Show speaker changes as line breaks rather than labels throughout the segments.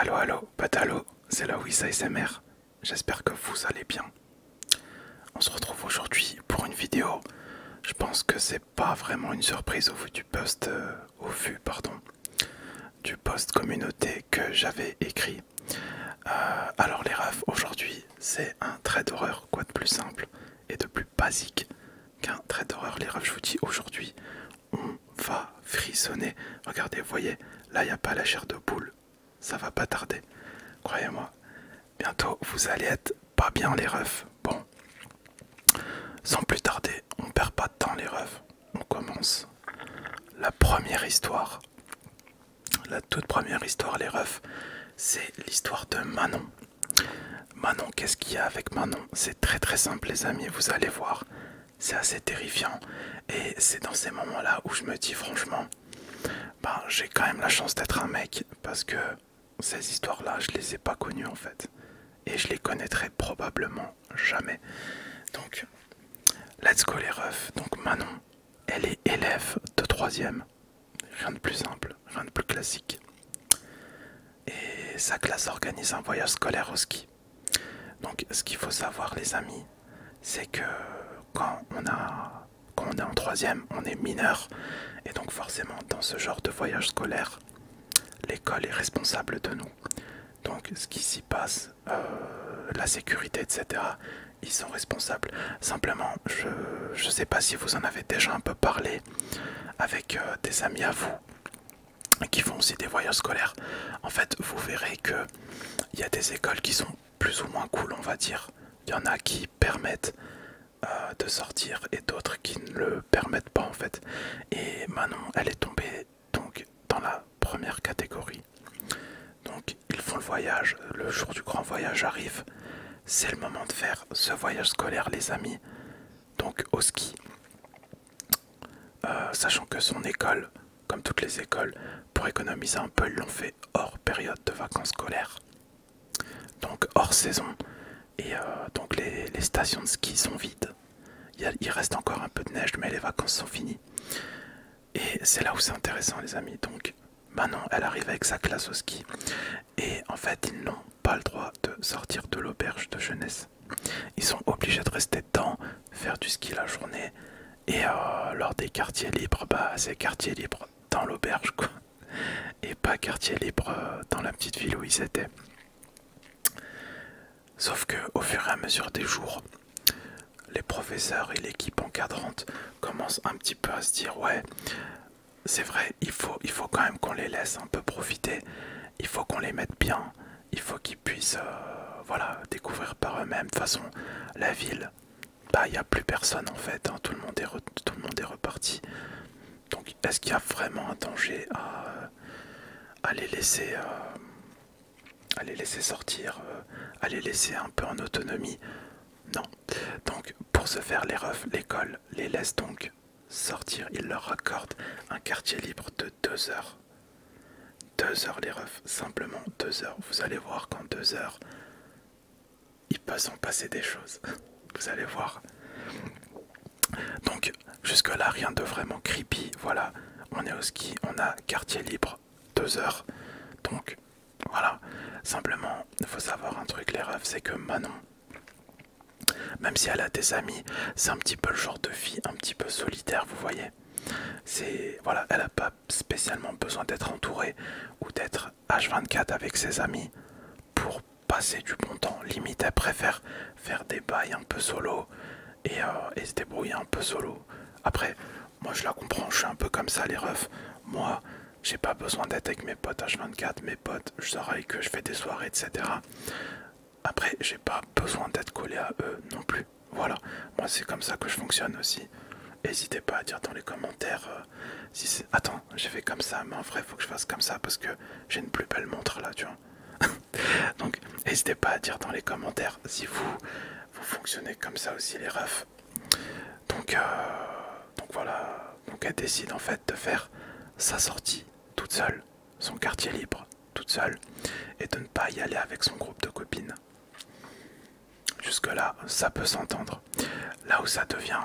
Allo allo, patalo, c'est la Wissa J'espère que vous allez bien. On se retrouve aujourd'hui pour une vidéo. Je pense que c'est pas vraiment une surprise au vu du post, euh, au vu pardon, du post communauté que j'avais écrit. Euh, alors les refs aujourd'hui, c'est un trait d'horreur quoi de plus simple et de plus basique qu'un trait d'horreur. Les refs, je vous dis aujourd'hui, on va frissonner. Regardez, voyez, là il n'y a pas la chair de poule. Ça va pas tarder. Croyez-moi, bientôt vous allez être pas bien les refs. Bon, sans plus tarder, on perd pas de temps les refs. On commence la première histoire. La toute première histoire les refs, c'est l'histoire de Manon. Manon, qu'est-ce qu'il y a avec Manon C'est très très simple les amis, vous allez voir c'est assez terrifiant. Et c'est dans ces moments-là où je me dis franchement, bah, j'ai quand même la chance d'être un mec parce que ces histoires-là, je les ai pas connues en fait. Et je les connaîtrai probablement jamais. Donc, let's go les refs. Donc Manon, elle est élève de 3ème. Rien de plus simple, rien de plus classique. Et sa classe organise un voyage scolaire au ski. Donc ce qu'il faut savoir les amis, c'est que quand on, est en troisième, on est mineur. Et donc forcément dans ce genre de voyage scolaire, l'école est responsable de nous. Donc ce qui s'y passe, euh, la sécurité, etc., ils sont responsables. Simplement, je ne sais pas si vous en avez déjà un peu parlé avec euh, des amis à vous qui font aussi des voyages scolaires. En fait, vous verrez que il y a des écoles qui sont plus ou moins cool, on va dire. Il y en a qui permettent euh, de sortir et d'autres qui ne le permettent pas en fait. Et Manon, elle est tombée donc dans la première catégorie. Donc ils font le voyage, le jour du grand voyage arrive. C'est le moment de faire ce voyage scolaire les amis. Donc au ski. Euh, sachant que son école, comme toutes les écoles, pour économiser un peu, ils l'ont fait hors période de vacances scolaires, donc hors saison. Et euh, donc les, stations de ski sont vides. il reste encore un peu de neige, mais les vacances sont finies. Et c'est là où c'est intéressant, les amis. Donc maintenant, elle arrive avec sa classe au ski. Et en fait, ils n'ont pas le droit de sortir de l'auberge de jeunesse ils sont obligés de rester dedans, faire du ski la journée et euh, lors des quartiers libres, bah c'est quartier libre dans l'auberge quoi et pas quartier libre euh, dans la petite ville où ils étaient. Sauf que au fur et à mesure des jours, les professeurs et l'équipe encadrante commencent un petit peu à se dire ouais c'est vrai il faut, il faut quand même qu'on les laisse un peu profiter, il faut qu'on les mette bien, il faut qu'ils puissent euh, voilà, découvrir par eux-mêmes. De toute façon, la ville, bah, il y n'y a plus personne en fait, hein. tout, le monde est reparti. Donc est-ce qu'il y a vraiment un danger à, euh, les, laisser, sortir, euh, à les laisser un peu en autonomie Non. Donc pour se faire les refs, l'école les laisse donc sortir. Il leur accorde un quartier libre de deux heures. 2 Deux heures les refs, simplement deux heures. Vous allez voir qu'en deux heures, il peut s'en passer des choses. Vous allez voir. Donc jusque là rien de vraiment creepy. Voilà, on est au ski, on a quartier libre, deux heures. Donc voilà. Simplement, il faut savoir un truc les refs, c'est que Manon, même si elle a des amis, c'est un petit peu le genre de fille un petit peu solitaire, vous voyez voilà, elle n'a pas spécialement besoin d'être entourée ou d'être H24 avec ses amis pour passer du bon temps. Limite, elle préfère faire des bails un peu solo et, euh, et se débrouiller un peu solo. Après, moi je la comprends, je suis un peu comme ça les refs. Moi, j'ai pas besoin d'être avec mes potes H24, mes potes, je sors que je fais des soirées, etc. Après, j'ai pas besoin d'être collé à eux non plus. Voilà, moi c'est comme ça que je fonctionne aussi. N'hésitez pas à dire dans les commentaires euh, si Attends, j'ai fait comme ça, mais en vrai, faut que je fasse comme ça parce que j'ai une plus belle montre là, tu vois. Donc, n'hésitez pas à dire dans les commentaires si vous, vous fonctionnez comme ça aussi, les refs. Donc, euh, donc voilà, donc elle décide en fait de faire sa sortie toute seule son quartier libre, toute seule, et de ne pas y aller avec son groupe de copines. Jusque-là, ça peut s'entendre. Là où ça devient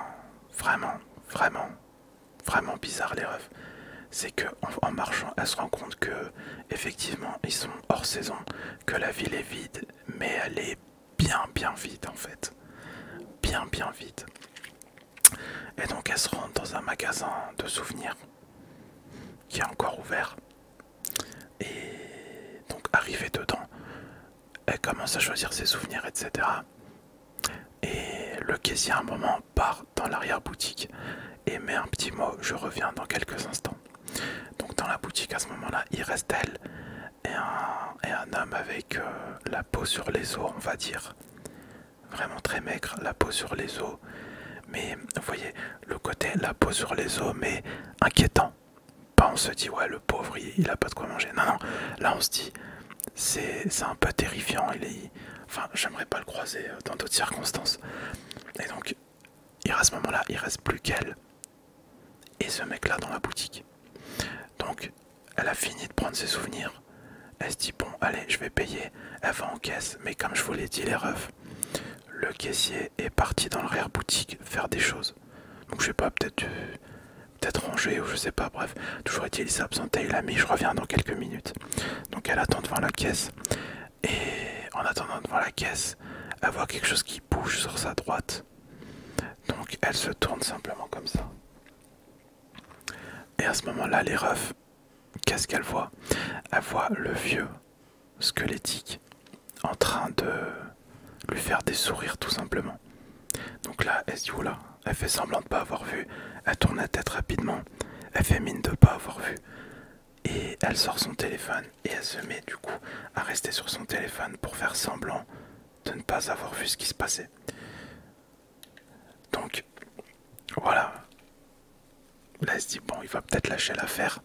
vraiment, vraiment, vraiment bizarre les rêves, c'est que en, marchant, elle se rend compte que effectivement ils sont hors saison, que la ville est vide, mais elle est bien, bien vide en fait, bien, bien vide. Et donc elle se rend dans un magasin de souvenirs qui est encore ouvert et donc arrivée dedans, elle commence à choisir ses souvenirs, etc. Et le caissier un moment part dans l'arrière-boutique et met un petit mot, je reviens dans quelques instants. Donc dans la boutique à ce moment-là, il reste elle et un, et un homme avec euh, la peau sur les os, on va dire. Vraiment très maigre, la peau sur les os. Mais vous voyez, le côté la peau sur les os, mais inquiétant. Pas on se dit, ouais, le pauvre, il, a pas de quoi manger. Non, non, là on se dit, c'est un peu terrifiant. Il est, enfin, j'aimerais pas le croiser euh, dans d'autres circonstances. Et donc, il, à ce moment-là, il reste plus qu'elle et ce mec-là dans la boutique. Donc, elle a fini de prendre ses souvenirs. Elle se dit, bon, allez, je vais payer. Elle va en caisse, mais comme je vous l'ai dit, les refs, le caissier est parti dans l'arrière-boutique faire des choses. Donc je sais pas, peut-être euh, ranger ou je sais pas, bref. Toujours est-il, absenté, il je reviens dans quelques minutes. Donc elle attend devant la caisse. Et en attendant devant la caisse, elle voit quelque chose qui bouge sur sa droite. Donc elle se tourne simplement comme ça. Et à ce moment-là, les refs qu'est-ce qu'elle voit Elle voit le vieux squelettique en train de lui faire des sourires tout simplement. Donc là, elle se dit, oula, elle fait semblant de ne pas avoir vu, elle tourne la tête rapidement, elle fait mine de pas avoir vu, et elle sort son téléphone, et elle se met du coup à rester sur son téléphone pour faire semblant de ne pas avoir vu ce qui se passait. Donc, voilà, Là, elle se dit, bon, il va peut-être lâcher l'affaire.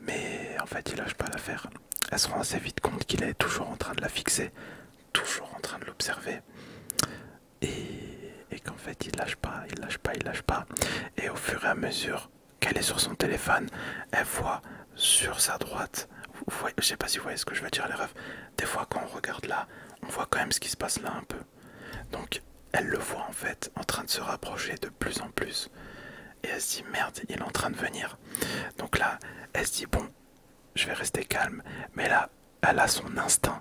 Mais en fait, il lâche pas l'affaire. Elle se rend assez vite compte qu'il est toujours en train de la fixer, toujours en train de l'observer. Et, qu'en fait, il lâche pas, il lâche pas, il lâche pas. Et au fur et à mesure qu'elle est sur son téléphone, elle voit sur sa droite. je sais pas si vous voyez ce que je veux dire, les refs. Des fois, quand on regarde là, on voit quand même ce qui se passe là un peu. Donc elle le voit en fait en train de se rapprocher de plus en plus. Et elle se dit merde, il est en train de venir. Donc là, elle se dit bon, je vais rester calme. Mais là, elle a son instinct.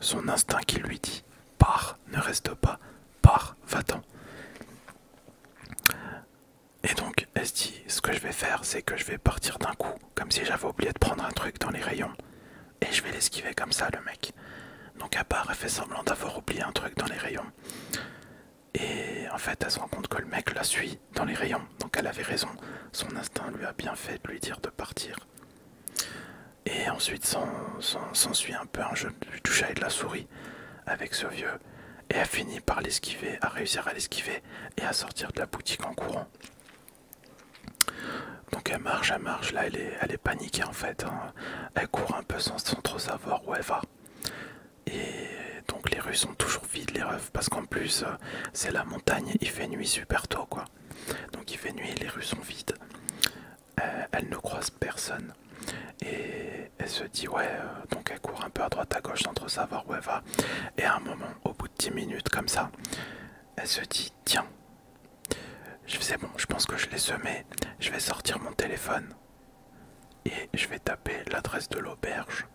Son instinct qui lui dit pars, ne reste pas, pars, va-t'en. Et donc elle se dit ce que je vais faire, c'est que je vais partir d'un coup, comme si j'avais oublié de prendre un truc dans les rayons et je vais l'esquiver comme ça, le mec. Donc, à part, elle fait semblant d'avoir oublié un truc dans les rayons. Et en fait, elle se rend compte que le mec la suit dans les rayons. Donc, elle avait raison. Son instinct lui a bien fait de lui dire de partir. Et ensuite, s'ensuit un peu un jeu de à et de la souris avec ce vieux. Et elle finit par l'esquiver, à réussir à l'esquiver et à sortir de la boutique en courant. Donc elle marche, elle marche, là elle est, paniquée en fait. Hein. Euh, elle court un peu sans, trop savoir où elle va. Et donc les rues sont toujours vides les refs parce qu'en plus euh, c'est la montagne, il fait nuit super tôt quoi. Donc il fait nuit, les rues sont vides. Euh, elle ne croise personne. Et elle se dit ouais, donc elle court un peu à droite à gauche sans trop savoir où elle va. Et à un moment, au bout de 10 minutes comme ça, elle se dit tiens, je faisais bon, je pense que je l'ai semé. Je vais sortir mon téléphone et je vais taper l'adresse de l'auberge.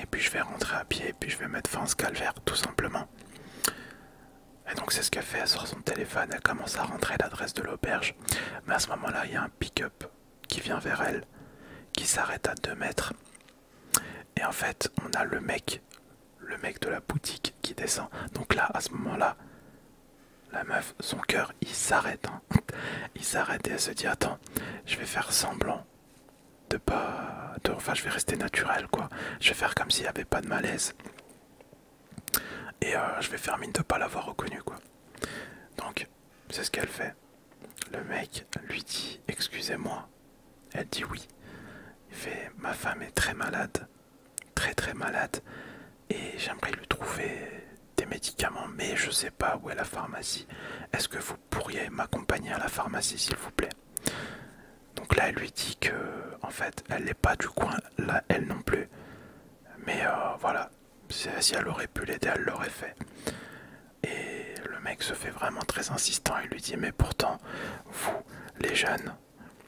Et puis je vais rentrer à pied et puis je vais mettre fin à ce calvaire tout simplement. Et donc c'est ce qu'elle fait, elle sort son téléphone, elle commence à rentrer l'adresse de l'auberge. Mais à ce moment-là, il y a un pick-up qui vient vers elle, qui s'arrête à 2 mètres. Et en fait, on a le mec, le mec de la boutique qui descend. Donc là, à ce moment-là, la meuf, son cœur, il s'arrête. Hein. Il s'arrête et elle se dit attends, je vais faire semblant de pas, enfin je vais rester naturel quoi. Je vais faire comme s'il n'y avait pas de malaise et euh, je vais faire mine de pas l'avoir reconnu quoi. Donc c'est ce qu'elle fait. Le mec lui dit excusez-moi. Elle dit oui. Il fait ma femme est très malade très très malade et j'aimerais lui trouver des médicaments mais je sais pas où est la pharmacie. Est-ce que vous pourriez m'accompagner à la pharmacie s'il vous plaît Donc là elle lui dit que en fait elle n'est pas du coin là elle non plus. Mais euh, voilà, si elle aurait pu l'aider elle l'aurait fait. Et le mec se fait vraiment très insistant il lui dit mais pourtant vous les jeunes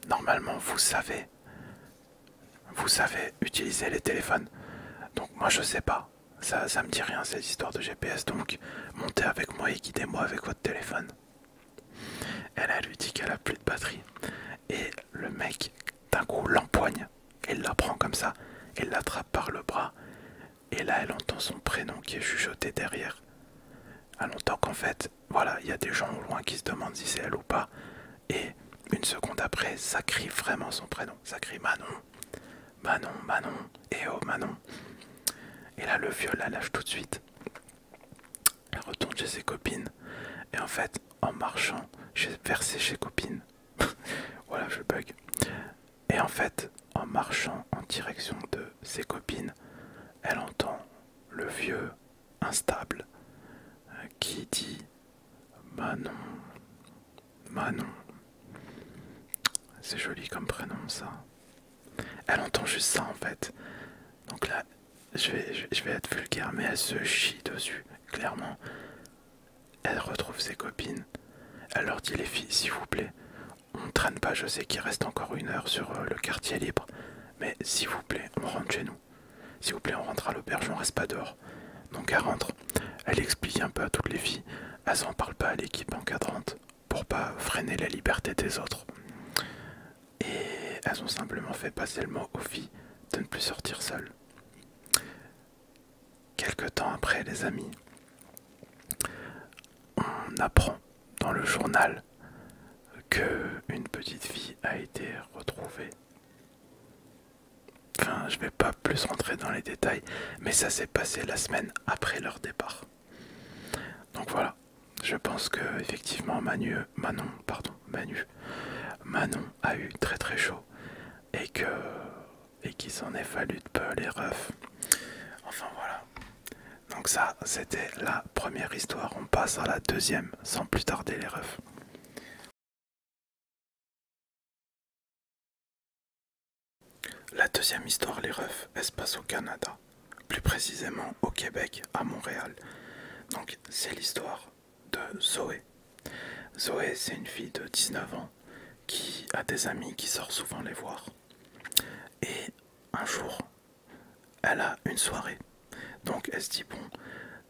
normalement vous savez vous savez utiliser les téléphones. Donc moi je sais pas. Ça, ça me dit rien cette histoires de GPS. Donc montez avec moi et guidez-moi avec votre téléphone. Elle, a lui dit qu'elle a plus de batterie. Et le mec, d'un coup, l'empoigne. et la prend comme ça. Elle l'attrape par le bras. Et là, elle entend son prénom qui est chuchoté derrière. Elle longtemps qu'en fait, voilà, il y a des gens au loin qui se demandent si c'est elle ou pas. Et une seconde après, ça crie vraiment son prénom. Ça crie Manon. Manon, Manon. Et eh oh Manon. Et là, le vieux la lâche tout de suite. Elle retourne chez ses copines. Et en fait, en marchant vers ses copines, voilà, je bug. Et en fait, en marchant en direction de ses copines, elle entend le vieux instable euh, qui dit Manon. Manon. C'est joli comme prénom ça. Elle entend juste ça en fait. Donc là, je vais, je vais être vulgaire, mais elle se chie dessus, clairement. Elle retrouve ses copines. Elle leur dit les filles, s'il vous plaît, on traîne pas, je sais qu'il reste encore une heure sur euh, le quartier libre, mais s'il vous plaît, on rentre chez nous. S'il vous plaît, on rentre à l'auberge, on reste pas dehors. Donc elle rentre. Elle explique un peu à toutes les filles. Elles en parlent pas à l'équipe encadrante pour pas freiner la liberté des autres. Et elles ont simplement fait passer le mot aux filles de ne plus sortir seules. Quelque temps après, les amis, on apprend dans le journal que une petite fille a été retrouvée Enfin, je vais pas plus rentrer dans les détails, mais ça s'est passé la semaine après leur départ. Donc voilà, je pense que effectivement Manu, Manon, pardon, Manu, Manon a eu très très chaud et que et qu'il s'en est fallu de peu les refs. Enfin voilà. Donc ça, c'était la première histoire. On passe à la deuxième, sans plus tarder les refs. La deuxième histoire, les refs, elle passe au Canada, plus précisément au Québec, à Montréal. Donc c'est l'histoire de Zoé. Zoé, c'est une fille de 19 ans qui a des amis qui sort souvent les voir. Et un jour, elle a une soirée donc elle se dit bon,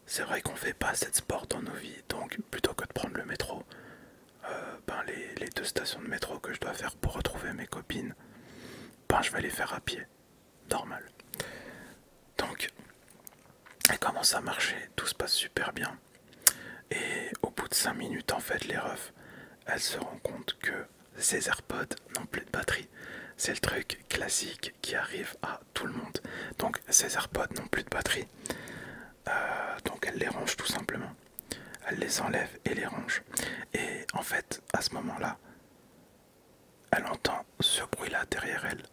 c'est vrai qu'on fait pas cette sport dans nos vies, donc plutôt que de prendre le métro, euh, ben les, deux stations de métro que je dois faire pour retrouver mes copines, ben je vais les faire à pied, normal. Donc elle commence à marcher, tout se passe super bien. Et au bout de 5 minutes en fait les refs, elles se rendent compte que ces AirPods n'ont plus de batterie. C'est le truc, classique qui arrive à tout le monde. Donc ces AirPods n'ont plus de batterie. Euh, donc elle les range tout simplement. Elle les enlève et les range. Et en fait, à ce moment-là, elle entend ce bruit-là derrière elle.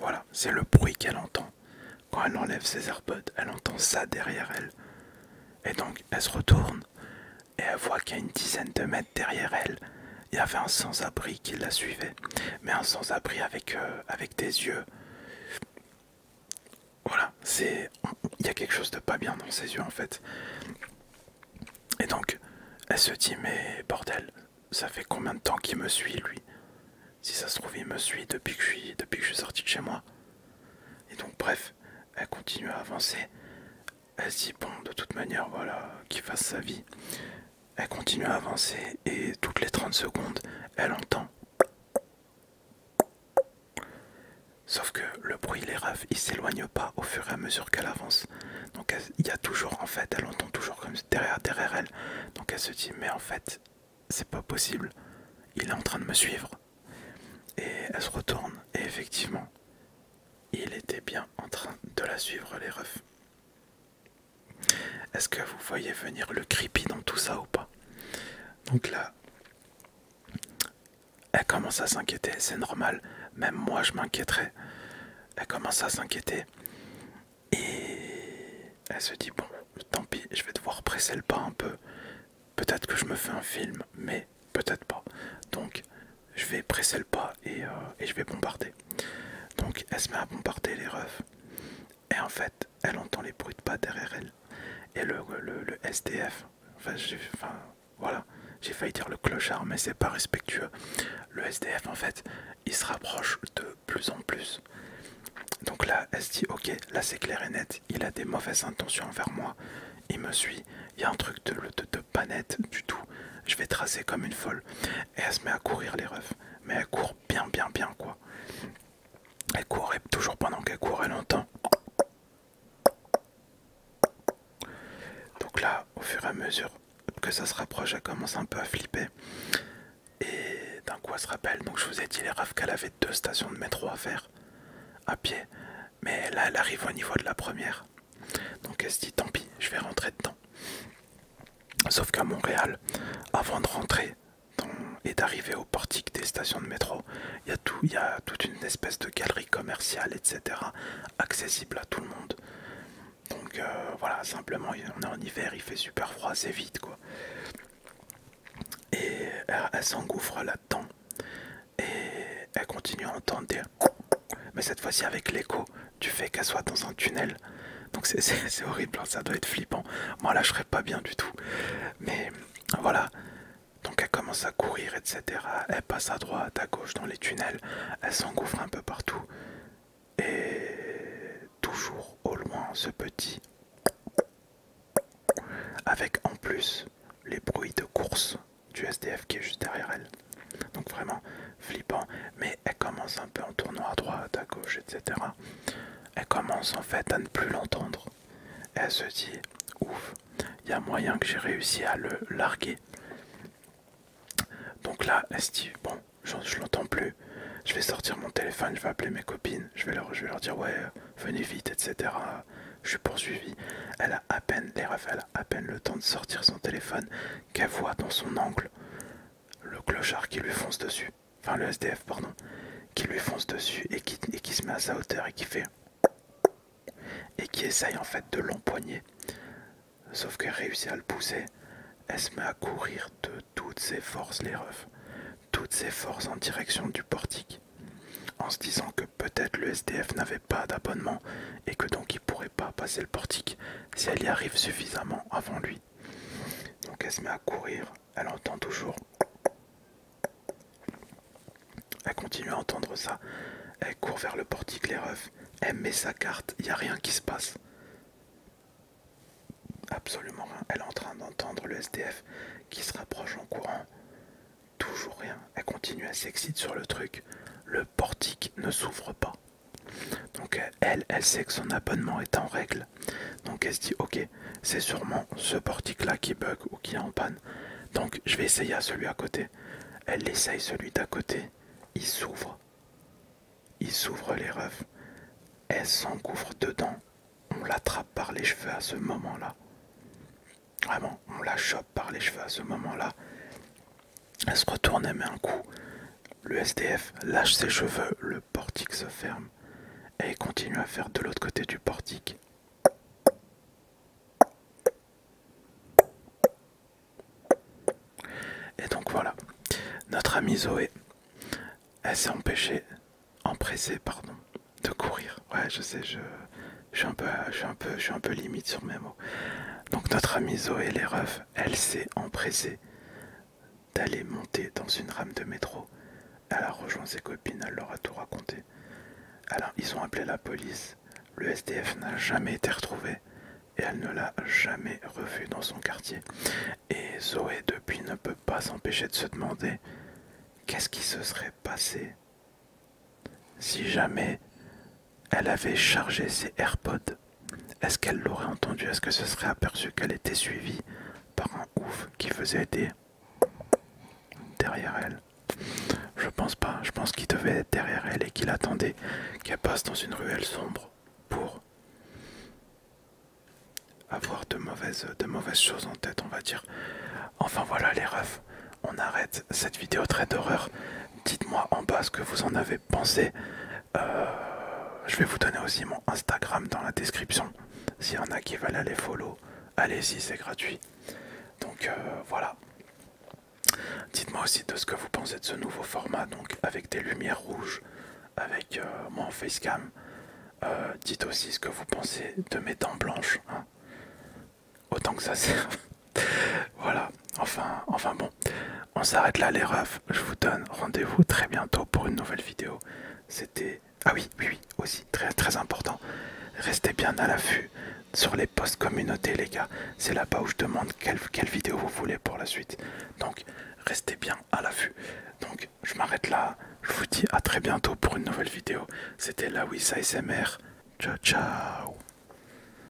Voilà, c'est le bruit qu'elle entend. Quand elle enlève ses AirPods, elle entend ça derrière elle. Et donc, elle se retourne, et elle voit a une dizaine de mètres derrière elle, il y avait un sans-abri qui la suivait, mais un sans-abri avec, euh, avec des yeux. Voilà, c'est il y a quelque chose de pas bien dans ses yeux en fait. Et donc, elle se dit mais bordel, ça fait combien de temps qu'il me suit lui Si ça se trouve, il me suit depuis que je suis, depuis que je suis sorti de chez moi. Et donc bref, elle continue à avancer elle se dit bon de toute manière voilà qu'il fasse sa vie elle continue à avancer et toutes les 30 secondes elle entend sauf que le bruit les rêves il s'éloigne pas au fur et à mesure qu'elle avance donc il y a toujours en fait elle entend toujours comme derrière derrière elle donc elle se dit mais en fait c'est pas possible il est en train de me suivre et elle se retourne et effectivement il était bien en train de la suivre, les refs. Est-ce que vous voyez venir le creepy dans tout ça ou pas Donc là, elle commence à s'inquiéter, c'est normal, même moi je m'inquiéterais. Elle commence à s'inquiéter et elle se dit bon, tant pis, je vais devoir presser le pas un peu. Peut-être que je me fais un film, mais Peut-être pas. Donc je vais presser le pas euh, et, je vais bombarder. Donc elle se met à bombarder les refs. Et en fait, elle entend les bruits de pas derrière elle. Et le, SDF, enfin, voilà, j'ai failli dire le clochard, mais c'est pas respectueux. Le SDF, en fait, il se rapproche de plus en plus. Donc là, elle se dit, ok, là c'est clair et net, il a des mauvaises intentions envers moi, il me suit, il y a un truc de, pas net du tout. Je vais tracer comme une folle. Et elle se met à courir les refs. Mais elle court bien, bien, bien quoi. Elle courait toujours pendant qu'elle courait longtemps. Donc là, au fur et à mesure que ça se rapproche, elle commence un peu à flipper. Et d'un coup, elle se rappelle. Donc je vous ai dit, les refs, qu'elle avait deux stations de métro à faire à pied. Mais là, elle arrive au niveau de la première. Donc elle se dit tant pis, je vais rentrer dedans. Sauf qu'à Montréal, avant de rentrer et d'arriver au portique des stations de métro, il y, a tout, y a toute une espèce de galerie commerciale, etc., accessible à tout le monde. Donc euh, voilà, simplement, on est en hiver, il fait super froid, c'est vite quoi. Et elle, s'engouffre là-dedans. Et elle continue à entendre mais cette fois-ci avec l'écho du fait qu'elle soit dans un tunnel. Donc c'est horrible, hein, ça doit être flippant. Moi là je serais pas bien du tout. Mais voilà. Donc elle commence à courir, etc. Elle passe à droite, à gauche dans les tunnels. Elle s'engouffre un peu partout. Et toujours au loin ce petit... Avec en plus les bruits de course du SDF qui est juste derrière elle. Donc vraiment flippant. Mais elle commence un peu en tournant à droite, à gauche, etc. Elle commence en fait à ne plus l'entendre. Elle se dit, ouf, il y a moyen que j'ai réussi à le larguer. Donc là, elle se dit, bon, je, l'entends plus. Je vais sortir mon téléphone, je vais appeler mes copines, je vais leur, leur dire, ouais, venez vite, etc. Je suis poursuivi. Elle a à peine les elle a à peine le temps de sortir son téléphone qu'elle voit dans son angle le clochard qui lui fonce dessus, enfin le SDF, pardon, qui lui fonce dessus et qui, se met à sa hauteur et qui fait. et qui essaye en fait de l'empoigner. Sauf qu'elle réussit à le pousser, elle se met à courir de toutes ses forces, les refs, toutes ses forces en direction du portique, en se disant que peut-être le SDF n'avait pas d'abonnement et que donc il pourrait pas passer le portique si elle y arrive suffisamment avant lui. Donc elle se met à courir, elle entend toujours. Elle continue à entendre ça. Elle court vers le portique, les refs. Elle met sa carte, il n'y a rien qui se passe. Absolument rien. Elle est en train d'entendre le SDF qui se rapproche en courant. Toujours rien. Elle continue, à s'excite sur le truc. Le portique ne s'ouvre pas donc elle elle sait que son abonnement est en règle donc elle se dit ok c'est sûrement ce portique là qui bug ou qui est en panne donc je vais essayer à celui à côté elle essaye celui d'à côté il s'ouvre il s'ouvre les refs. elle s'engouffre dedans on l'attrape par les cheveux à ce moment là Vraiment, on la chope, par les cheveux à ce moment-là. Elle se retourne et met un coup. Le SDF lâche ses cheveux, le portique se ferme et continue à faire de l'autre côté du portique. Et donc voilà, notre amie Zoé, elle s'est empêchée, empressée, pardon, de courir. Ouais, je sais, je, suis un peu, un peu, je suis un peu limite sur mes mots. Donc notre amie Zoé les refs, elle s'est empressée d'aller monter dans une rame de métro. Elle a rejoint ses copines, elle leur a tout raconté. Alors ils ont appelé la police. Le SDF n'a jamais été retrouvé et elle ne l'a jamais revu dans son quartier. Et Zoé depuis ne peut pas s'empêcher de se demander qu'est-ce qui se serait passé si jamais elle avait chargé ses AirPods. Est-ce qu'elle l'aurait entendu Est-ce que ce serait aperçu qu'elle était suivie par un ouf qui faisait des derrière elle Je pense pas. Je pense qu'il devait être derrière elle et qu'il attendait qu'elle passe dans une ruelle sombre pour avoir de mauvaises, de mauvaises choses en tête, on va dire. Enfin voilà les refs, on arrête cette vidéo très d'horreur. Dites-moi en bas ce que vous en avez pensé. Euh, je vais vous donner aussi mon Instagram dans la description. S'il y en a qui veulent aller follow, allez-y, c'est gratuit. Donc euh, voilà. Dites-moi aussi de ce que vous pensez de ce nouveau format, donc avec des lumières rouges, avec euh, mon facecam. dites aussi ce que vous pensez de mes dents blanches. Hein. Autant que ça sert voilà, enfin, enfin bon, on s'arrête là les refs. Je vous donne rendez-vous très bientôt pour une nouvelle vidéo. C'était... Ah oui, oui, oui, aussi, très, très important. Restez bien à l'affût sur les postes communautés les gars. C'est là-bas où je demande quelle, vidéo vous voulez pour la suite. Donc, restez bien à l'affût. Donc, je m'arrête là. Je vous dis à très bientôt pour une nouvelle vidéo. C'était la ça SMR. Ciao, ciao